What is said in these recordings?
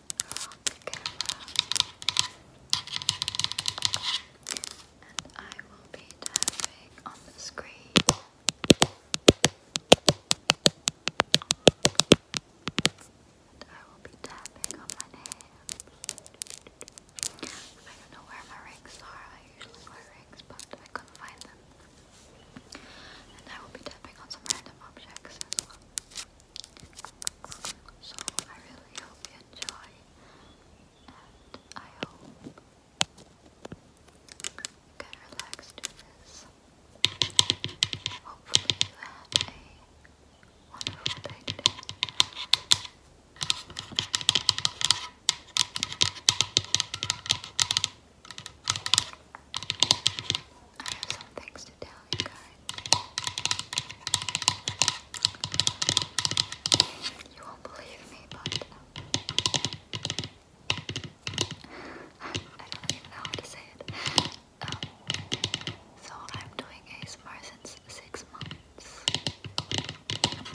on the And I will be tapping on the screen. And I will be tapping on my nails. I don't know where my rings are. I usually wear rings, but I couldn't find them. And I will be tapping on some random objects as well. So I really hope you enjoy, and I hope you can relax Hopefully you had a wonderful day today. I have some things to tell you guys. You won't believe me, but um, I don't even know how to say it. Um, so I'm doing ASMR since six months. And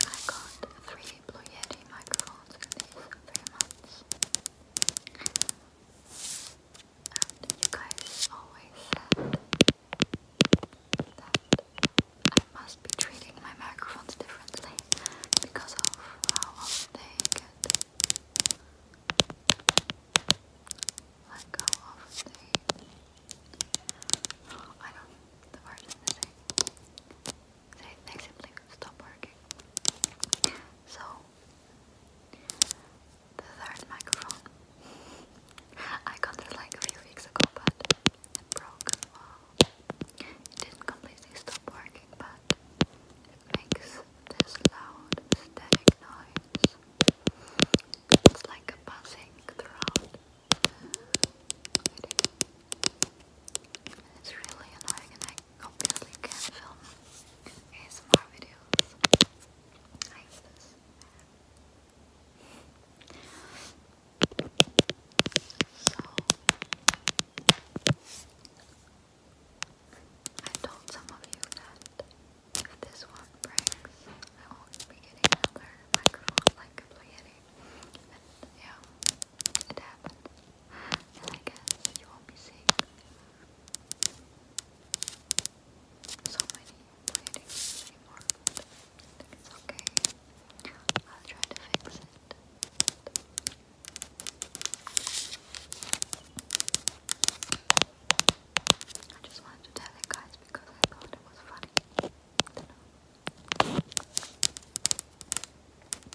I got three Blue Yeti microphones friends. And you guys always said that I must be treating my microphones differently because of how often they get like how often they I don't they, simply stop working. So, the third microphone, I got it like a few weeks ago, but it broke. it didn't completely stop working, but it makes this loud, static noise. It's like a buzzing throughout. It's really annoying obviously can film ASMR videos. I told some of you that if this one breaks, I won't be getting another microphone like a Blue Yeti. And yeah, it happened and I guess you won't be sick. So many bleedings anymore. It's okay. I'll try to fix it. I just wanted to tell you guys because I thought it was funny. I know.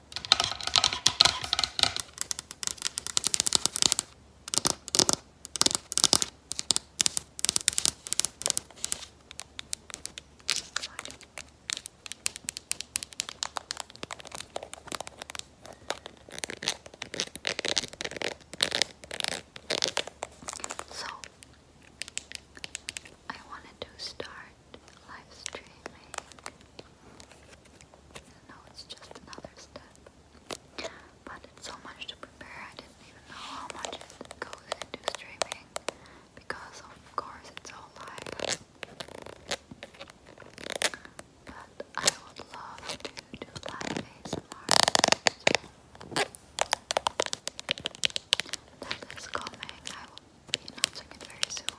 So, I wanted to start live streaming and it's just another step. But it's so much to prepare, I didn't even know how much goes into streaming because, of course, it's all live. But I would love to live ASMR. So that is coming. I will be announcing it very soon.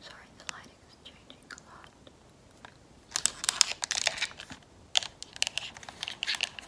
Sorry, the lighting is changing a lot.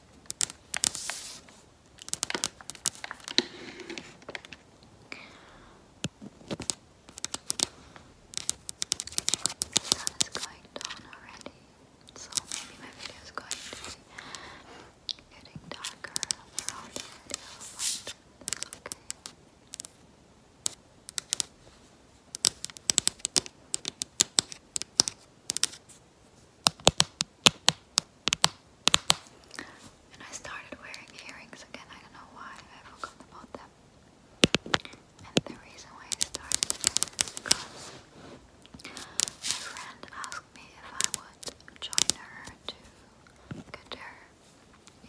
The sun is going down already, so maybe my video is going to be getting darker around the video, but that's okay. Okay. And I started wearing earrings again. I don't know why. I forgot about them. And the reason why I started is because my friend asked me if I would join her to get her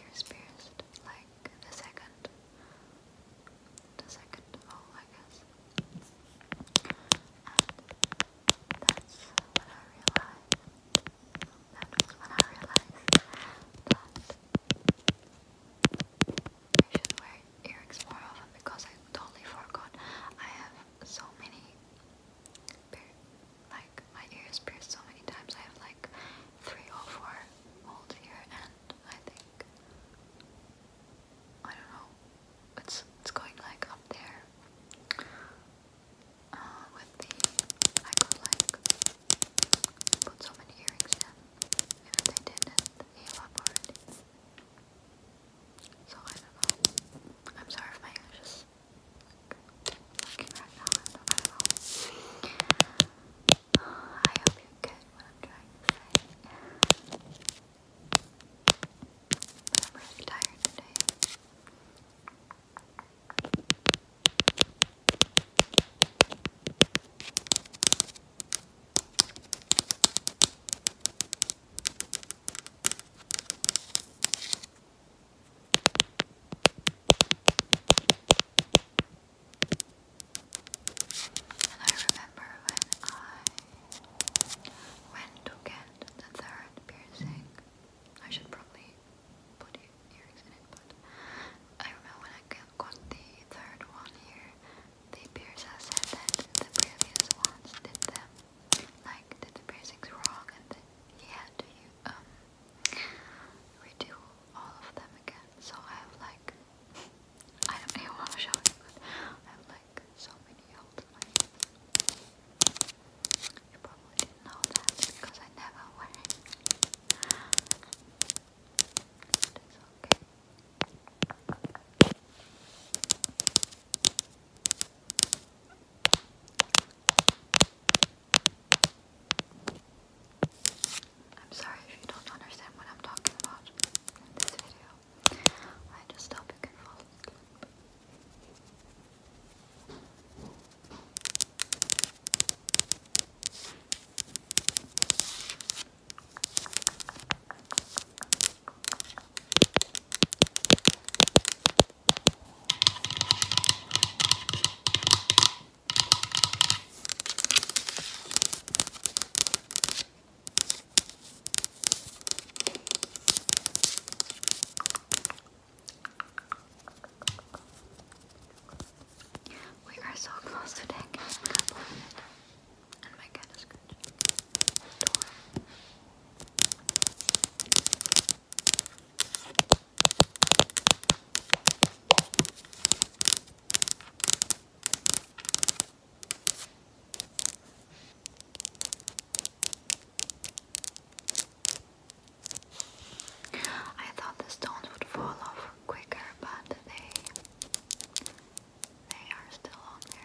ears pierced, like the second, the second hole, I guess. And that's when I realized, that when I realized that I should wear earrings more often because I totally forgot. I have so many, like my ears pierced so many times. I have like three or four holes here and I think I don't know. It's it's going like up there uh, with the I could like put so many earrings in if didn't I am sorry if my English is looking right now. I don't, know. I hope you get what I'm trying to say. I'm really tired today. I remember when I when to get the third piercing, I should probably put earrings in it, but I remember when I got the third one here, the piercer said that the previous ones did them, like the piercings wrong, and that he had to um, redo all of them again. So I have like I don't even want to show it, but I have like like so many old money. You probably didn't know that because I never wear it. it's okay. I'm sorry if you don't understand what I'm talking about in this video. I just hope you can fall asleep. We are so close to that. And my cat is good. I thought the stones would fall off quicker, but they they are still on there.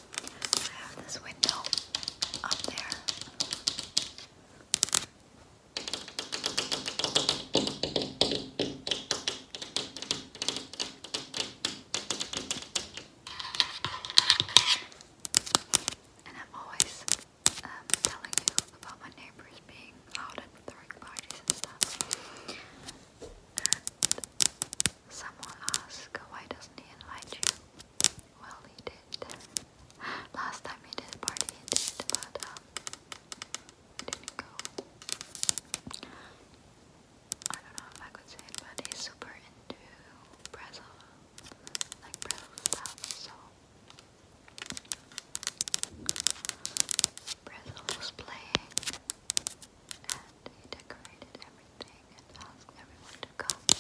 I have this window up there. And I'm always um, telling you about my neighbors being out and throwing parties and stuff. someone asked, why doesn't he invite you? Well, he did. Last time he did party, he did, but um, he didn't go. I don't know if I could say but he's super into Brazil, like Brazil stuff. So Brazil playing, and he decorated everything everything and asked everyone to come to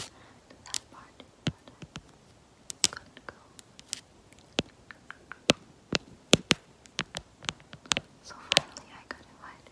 that party, but I couldn't So finally I got invited.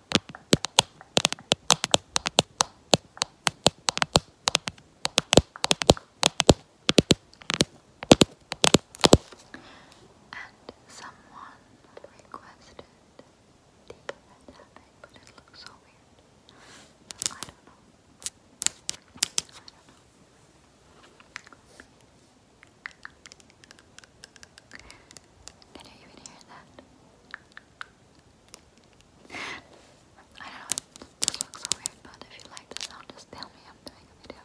And someone requested deep red tapping, but it looks so weird. I don't know. I don't know. Can you even hear that? I don't know, it looks so weird, but if you like the sound, just tell me I'm doing a video.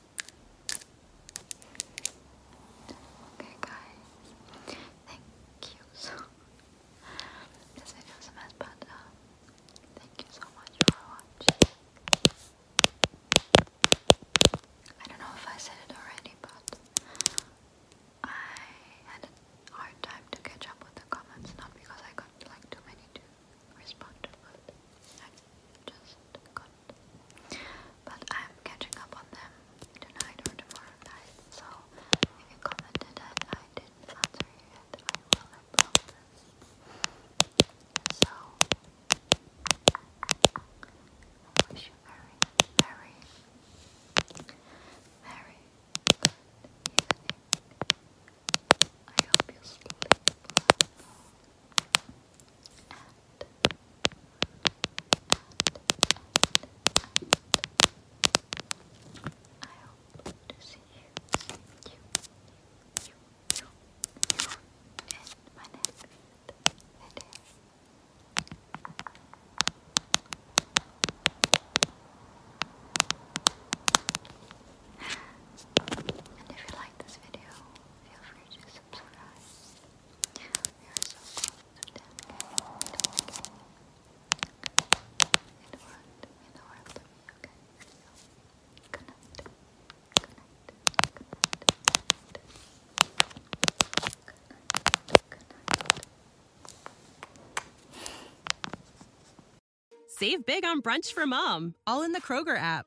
Okay guys, thank you so This video is a mess but uh, thank you so much for watching. I don't know if I said it already but I had a hard time to catch up with the comments, not because I got like too many to respond to but I just got but I'm catching up on them tonight or tomorrow night. So if you commented and I didn't answer you I will, I So I wish you very, very, very good evening. I hope you sleep well and you, if you like this video, feel free to subscribe. Save big on brunch for mom, all in the Kroger app.